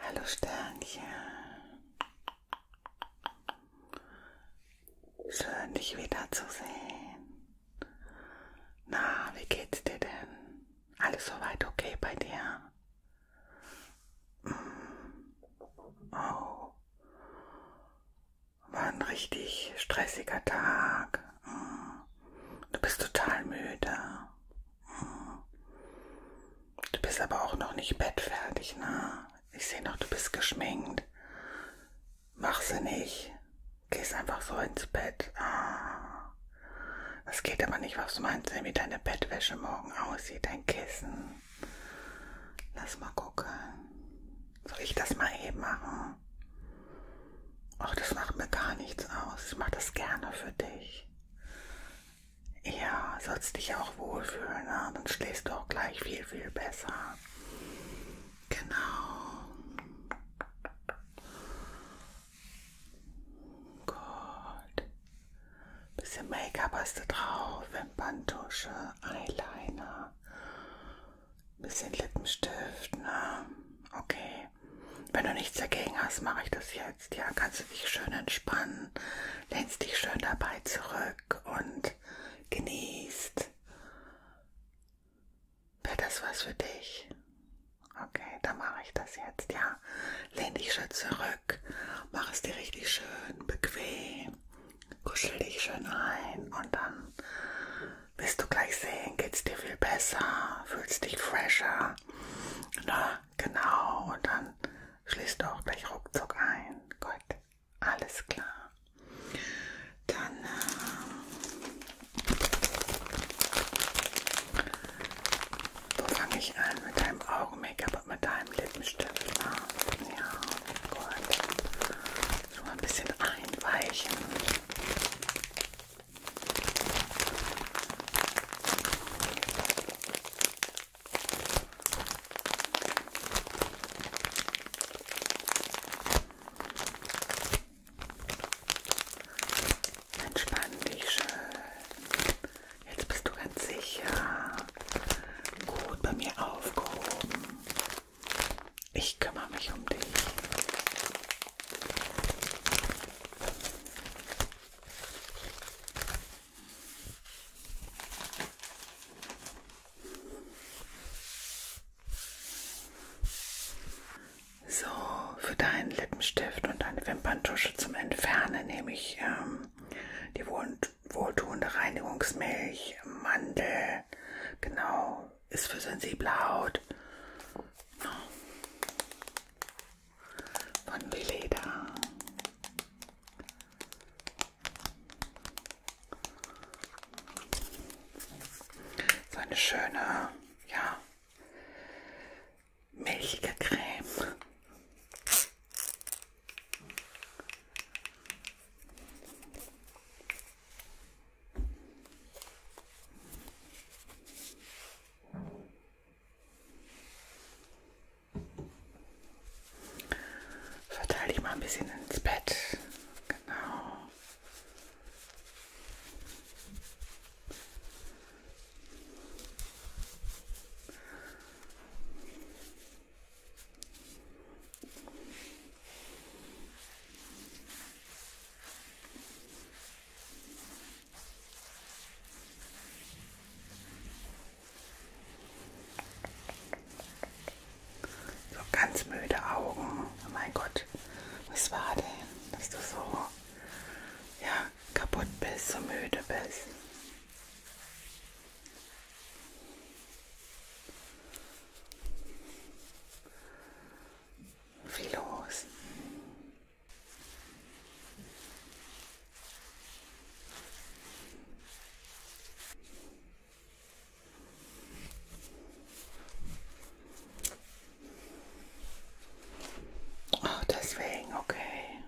Hallo Sternchen. Schön dich wiederzusehen. Na, wie geht's dir denn? Alles soweit okay bei dir? Mm. Oh. War ein richtig stressiger Tag. Mm. Du bist total müde. Du bist aber auch noch nicht bettfertig, ne? Ich sehe noch, du bist geschminkt. Mach sie nicht. Gehst einfach so ins Bett. Ah. Das geht aber nicht. Was meinst du, wie deine Bettwäsche morgen aussieht? Dein Kissen. Lass mal gucken. Soll ich das mal eben machen? Ach, das macht mir gar nichts aus. Ich mache das gerne für dich. Ja, sollst dich auch wohlfühlen, ne? dann schläfst du auch gleich viel, viel besser. Genau. Gut. Bisschen Make-up hast du drauf, Wimperntusche, Eyeliner, bisschen Lippenstift, ne? Okay. Wenn du nichts dagegen hast, mache ich das jetzt. Ja, kannst du dich schön entspannen, lehnst dich schön dabei zurück und genießt. Wäre das was für dich? Okay, dann mache ich das jetzt, ja. Lehn dich schön zurück, mach es dir richtig schön bequem, kuschel dich schön ein und dann wirst du gleich sehen, geht's dir viel besser, fühlst dich fresher. Na, ne? genau. Und dann schließt du auch gleich ruckzuck ein. Gut, alles klar. Dann äh, wo fange ich an? Mit deinem Augen-Make-up und mit deinem Lippenstift. Ne? Ja, gut. Schon mal ein bisschen einweichen. Entspann dich schön. Jetzt bist du ganz sicher. Gut bei mir aufgehoben. Ich kümmere mich um dich. So, für deinen Lippenstift und deine Wimperntusche zum Entfernen nehme ich ähm, die wohl wohltuende Reinigungsmilch, Mandel, genau, ist für sensible Haut von Beleda. So eine schöne, ja, milchige Creme. Verteile dich mal ein bisschen ins Bett. Genau. So ganz müde Augen. Oh mein Gott, was war denn, dass du so ja, kaputt bist, so müde bist? Viel los. Ach, deswegen, okay.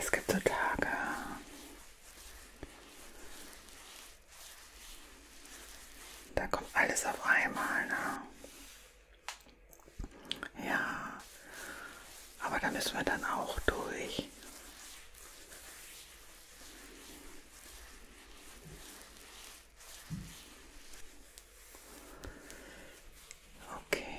Es gibt so Tage. Da kommt alles auf einmal. Ne? Ja, aber da müssen wir dann auch durch. Okay.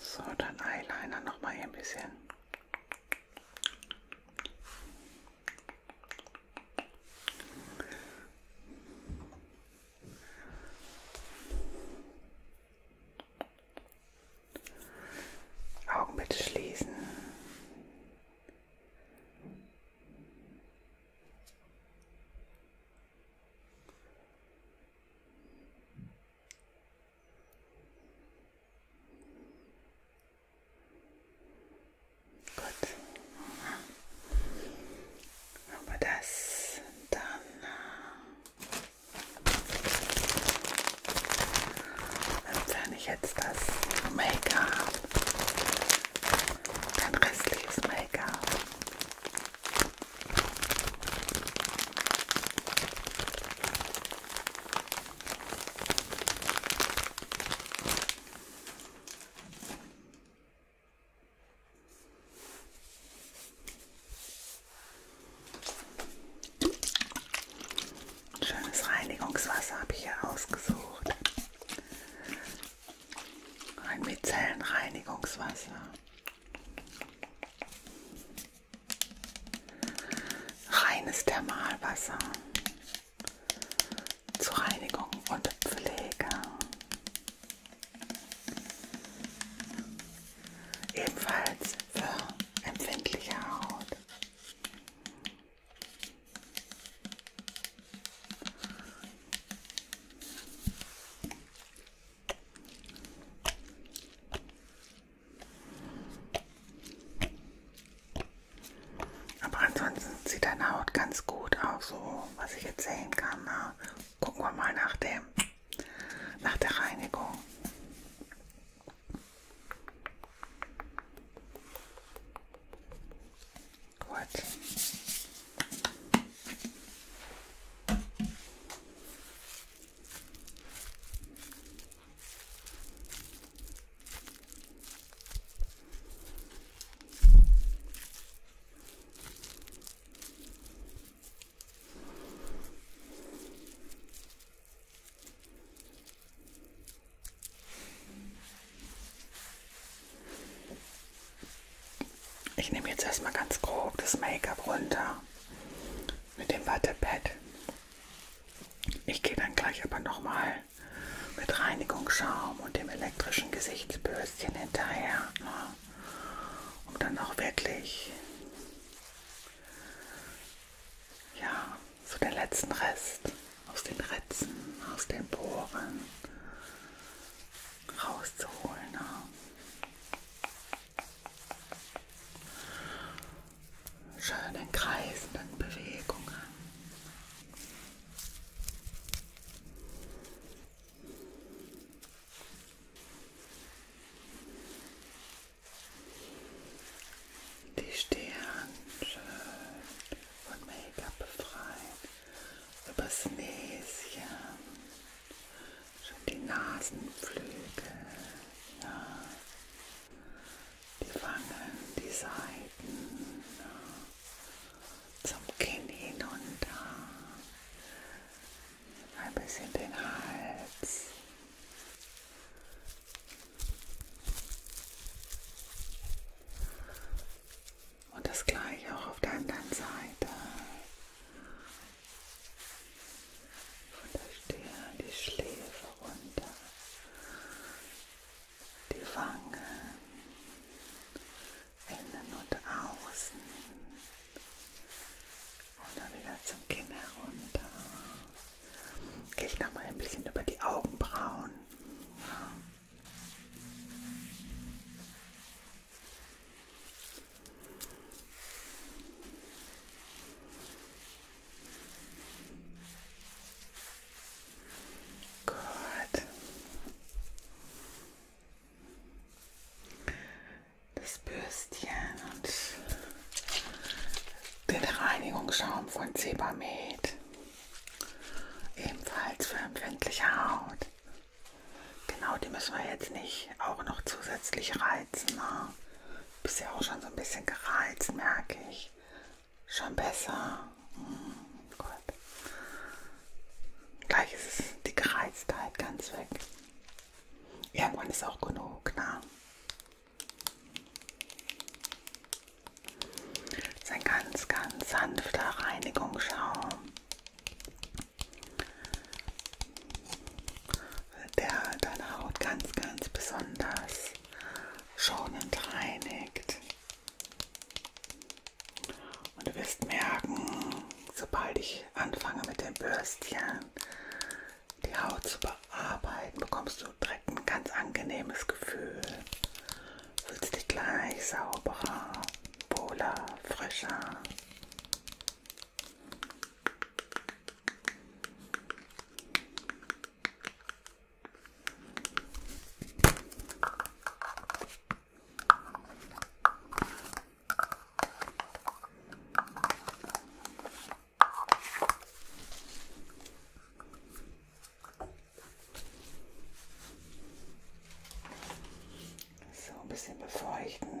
So, dann Eyeliner noch mal hier ein bisschen. Augen bitte schließen. Gut. Aber das dann äh, wenn ich jetzt das Make-up, dein restliches Make-up Schönes Reinigungswasser habe ich hier ausgesucht. Ein Mizellenreinigungswasser. Reines Thermalwasser zur Reinigung und Pflege. Ebenfalls für empfindliche Haut. Aber ansonsten sieht deine Haut ganz gut aus, so was ich jetzt sehen kann. Na, ne? gucken wir mal nach, dem, nach der Reinigung. Gut. Ich nehme jetzt erstmal ganz grob das Make-up runter mit dem Wattepad. Ich gehe dann gleich aber nochmal mit Reinigungsschaum und dem elektrischen Gesichtsbürstchen hinterher, ne? um dann auch wirklich ja, so den letzten Rest aus den Ritzen, aus den Poren rauszuholen. Ne? schönen kreisenden Bewegungen. Die Stirn schön von Make-up befreit, übers Näschen, schon die Nasenflügel, ja. die Wangen, die Seiten, ja. zum Kinn hinunter, ein bisschen den Hals. Und das gleiche auch auf der anderen Seite. Von der Stirn, die Schläfe runter, die Wangen, innen und außen. Und dann wieder zum Kinn herunter. Gehe ich nochmal ein bisschen über die Augenbrauen. Ja. Gut. Das Bürstchen und den Reinigungsschaum von Zebamed. Ebenfalls für empfindliche Haut. Genau, die müssen wir jetzt nicht auch noch zusätzlich reizen. Ne? Bist ja auch schon so ein bisschen gereizt, merke ich. Schon besser. Hm, gut. Gleich ist es die Gereiztheit ganz weg. Irgendwann ist auch genug, na. Ne? Das ist ein ganz, ganz sanfter Reinigungsschaum der deine Haut ganz, ganz besonders schonend reinigt. Und du wirst merken, sobald ich anfange mit dem Bürstchen die Haut zu bearbeiten, bekommst du direkt ein ganz angenehmes Gefühl. Fühlst dich gleich sauberer, wohler, frischer. So ein bisschen befeuchten.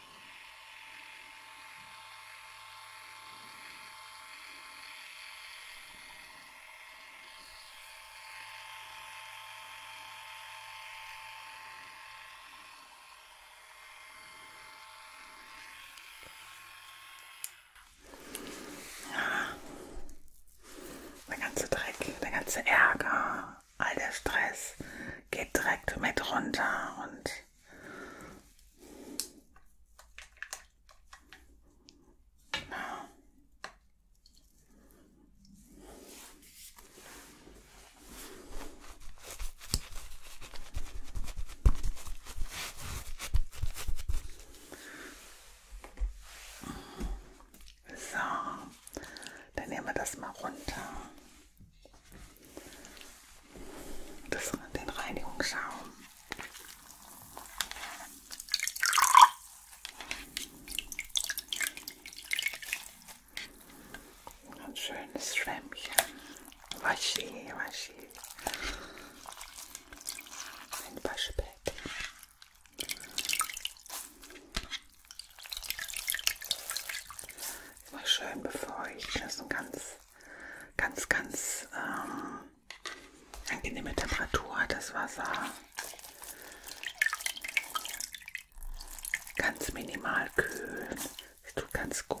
Ja. Der ganze Dreck, der ganze Ärger, all der Stress geht direkt mit runter und so, dann nehmen wir das mal runter das, den Reinigungsschaum. Ein schönes Schwämmchen. Waschi, waschi. Ein Waschbett. Jetzt mal schön befeuchten. Das ist eine ganz, ganz, ganz ähm, angenehme Temperatur, das Wasser. Ganz minimal kühlen. Das tut ganz gut.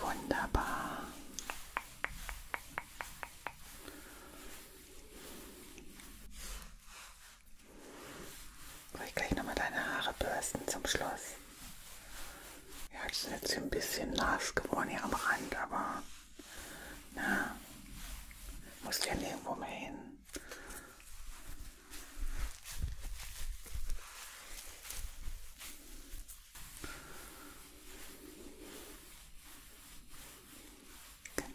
Wunderbar. Soll ich gleich nochmal deine Haare bürsten zum Schluss? Ja, das ist jetzt ein bisschen nass geworden hier am Rand, aber na, musst ja nirgendwo mehr hin. Genau.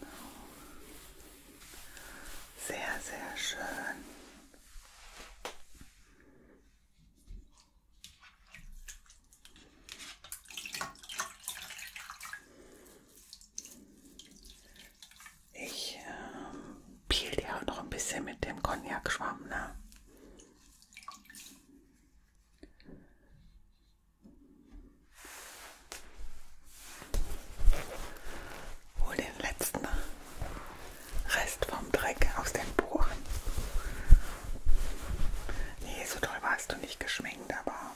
Sehr, sehr schön. Ich äh, peel die auch noch ein bisschen mit dem Cognac-Schwamm, ne? Hol den letzten Rest vom Dreck aus den Poren. Nee, so toll warst du nicht geschminkt, aber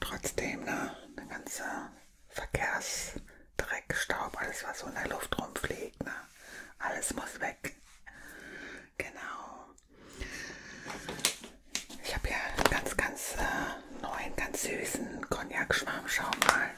trotzdem, ne? Der ganze Verkehrsdreck, Staub, alles, was so in der Luft rumfliegt, ne? Alles muss weg. Genau. Ich habe hier ganz, ganz äh, neuen, ganz süßen Cognac-Schwarmschau mal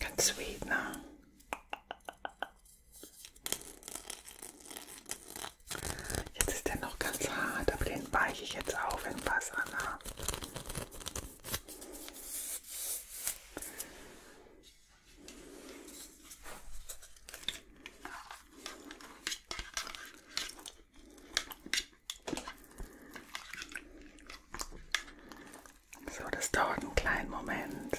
Ganz sweet, ne? Jetzt ist der noch ganz hart, aber den weiche ich jetzt auf in Wasser. Ne? So, das dauert einen kleinen Moment.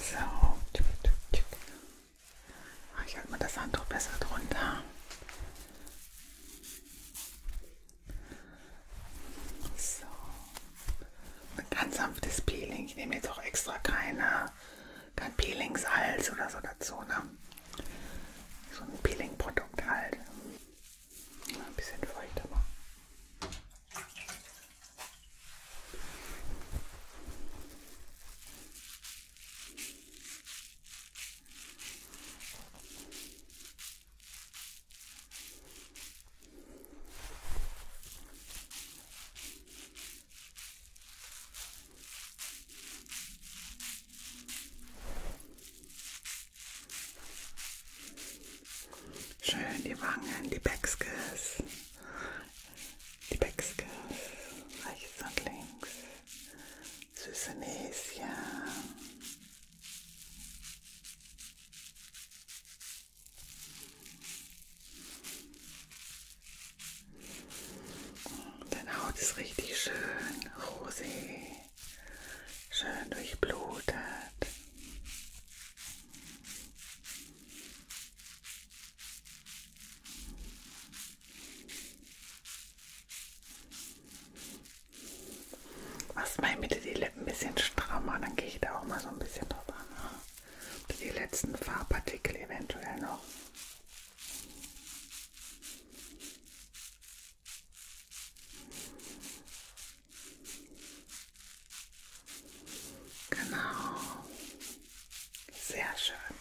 So. Ah, ich halte mal das Handtuch besser drunter. So. Ein ganz sanftes Peeling. Ich nehme jetzt auch extra keine, kein Peelingsalz oder so dazu. Ne? So ein Peeling-Produkt halt. Ein bisschen feuchter machen. Ein Schön die Wangen, die Backskills. Die Backskills. Rechts und links. Süße Näschen. Deine Haut ist richtig schön rosig schön durchblutet. Machst mal bitte die Lippen ein bisschen strammer, dann gehe ich da auch mal so ein bisschen drauf an. Die letzten Farbpartikel eventuell noch. Genau. Sehr schön.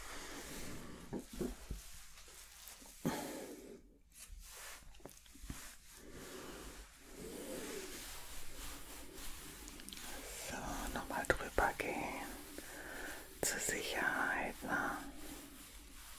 So, nochmal drüber gehen. Zur Sicherheit. Ne?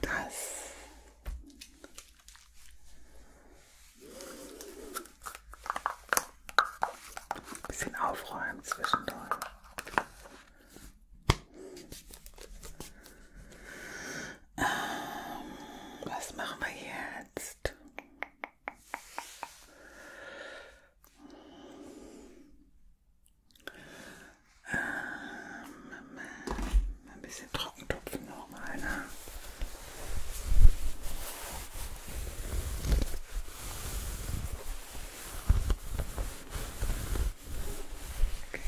Das. Ein bisschen aufräumen zwischendurch. Ähm, was machen wir jetzt? Ähm, ein bisschen Trockentupfen nochmal, ne? Okay.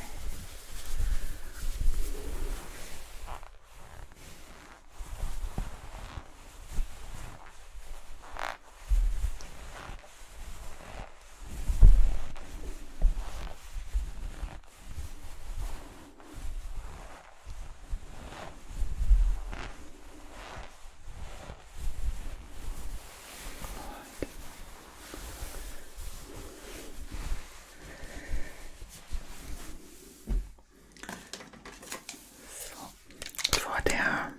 So, vor der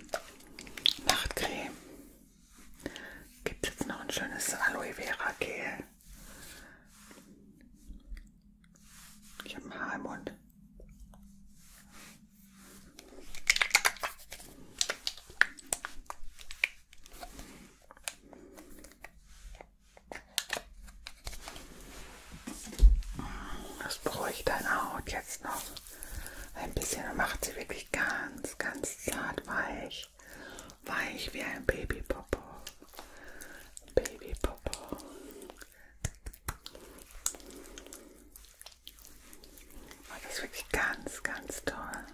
Nachtcreme Gibt es jetzt noch ein schönes Aloe Vera Gel? Ich habe ein Haar im Mund. Das bräuchte deine Haut jetzt noch ein bisschen und macht sie wirklich ganz, ganz zart weich. Weich wie ein Babypopo. Babypopo. Oh, das ist wirklich ganz, ganz toll.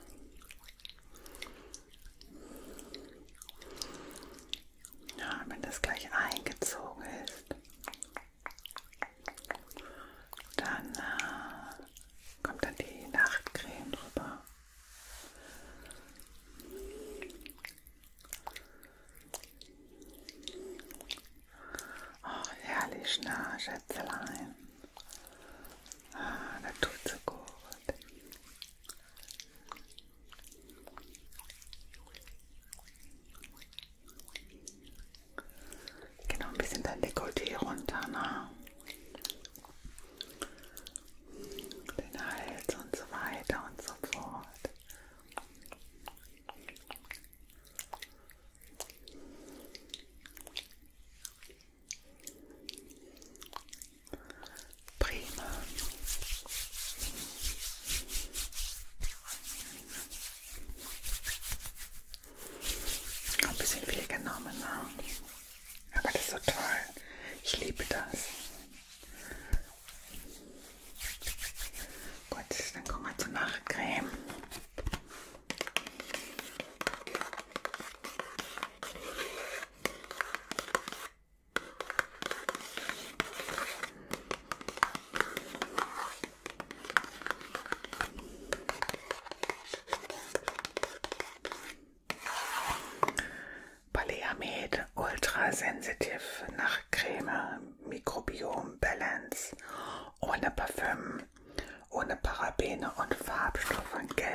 Ja, wenn das gleich eingezogen ist, dann äh, kommt dann die Nachtcreme drüber. Oh, herrlich, na, ne, Schätzelein. Ah, das tut so gut. Genau, ein bisschen dein Dekolleté runter, ne? Den Hals und so weiter und so fort. Prima. Ein bisschen viel genommen, ne? aber das ist so toll. Ich liebe das. Gut, dann kommen wir zur Nachtcreme. Baleamed ultrasensitiv nach Creme, Mikrobiom Balance, ohne Parfüm, ohne Parabene und Farbstoffe Gel.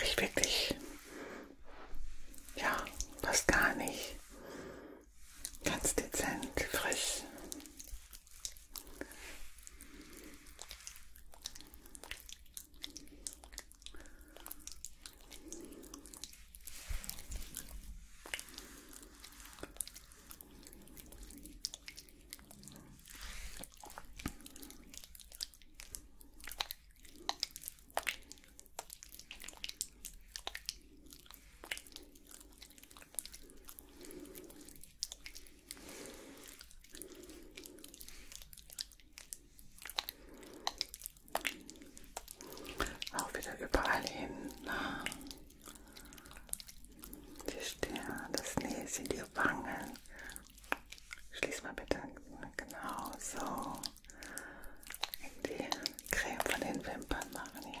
Riecht wirklich, ja, fast gar nicht ganz dezent, frisch. Auch wieder überall hin. Ne? Die Stirn, das Näschen, die Wangen. Schließ mal bitte ne, genau so. Die Creme von den Wimpern machen hier.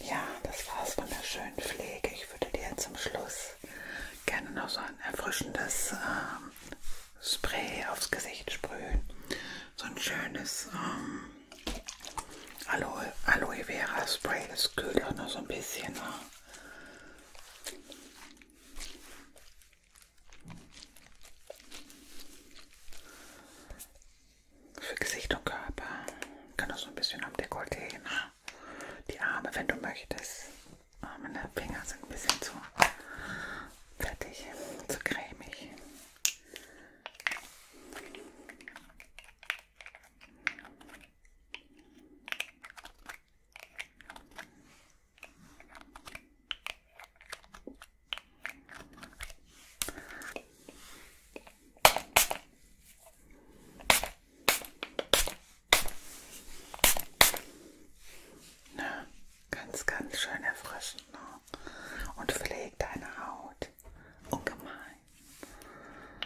Ja, das war's von der schönen Pflege. Ich würde dir zum Schluss gerne noch so ein erfrischendes ähm, Spray aufs Gesicht sprühen. So ein schönes ähm, Aloe, Aloe Vera Spray. Das kühlt auch noch so ein bisschen. Ne? Für Gesicht und Körper. Kann auch so ein bisschen am Dekolleté. Ne? Die Arme, wenn du möchtest. Meine Finger sind ein bisschen zu fettig, zu cremig. Na, ganz, ganz schön erfrischend ne? und pflegt deine Haut. Ungemein.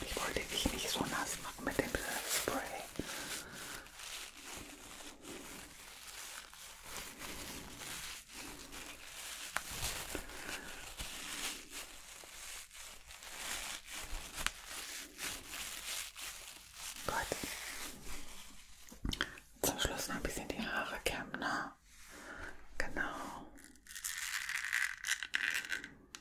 Ich wollte dich nicht so nass machen mit dem Spray. Gut. Zum Schluss noch ein bisschen die Haare kämmen, ne? Genau.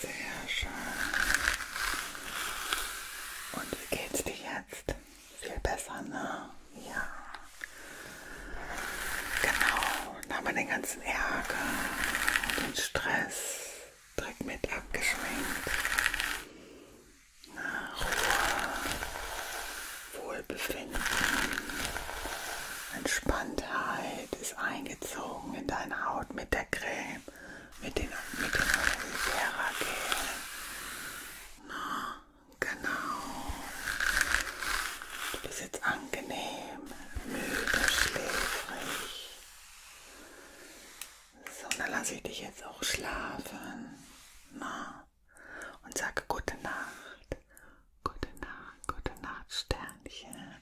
Sehr schön. Und wie geht's dir jetzt? Viel besser, ne? Ja. Genau, dann haben wir den ganzen Ärger, den Stress direkt mit abgeschminkt. Na, Ruhe, Wohlbefinden, Entspanntheit ist eingezogen in deine Haut mit der Creme, mit den mit dem Vera Gel. Na, genau. Du bist jetzt angenehm müde, schläfrig. So, dann lasse ich dich jetzt auch schlafen. Na? Und sage gute Nacht. Gute Nacht, gute Nacht, Sternchen.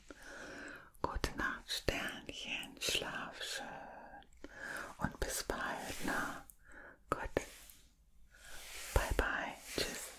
Gute Nacht, Sternchen. Schlaf schön. Und bis bald, na? Gut. Bye, bye. Tschüss.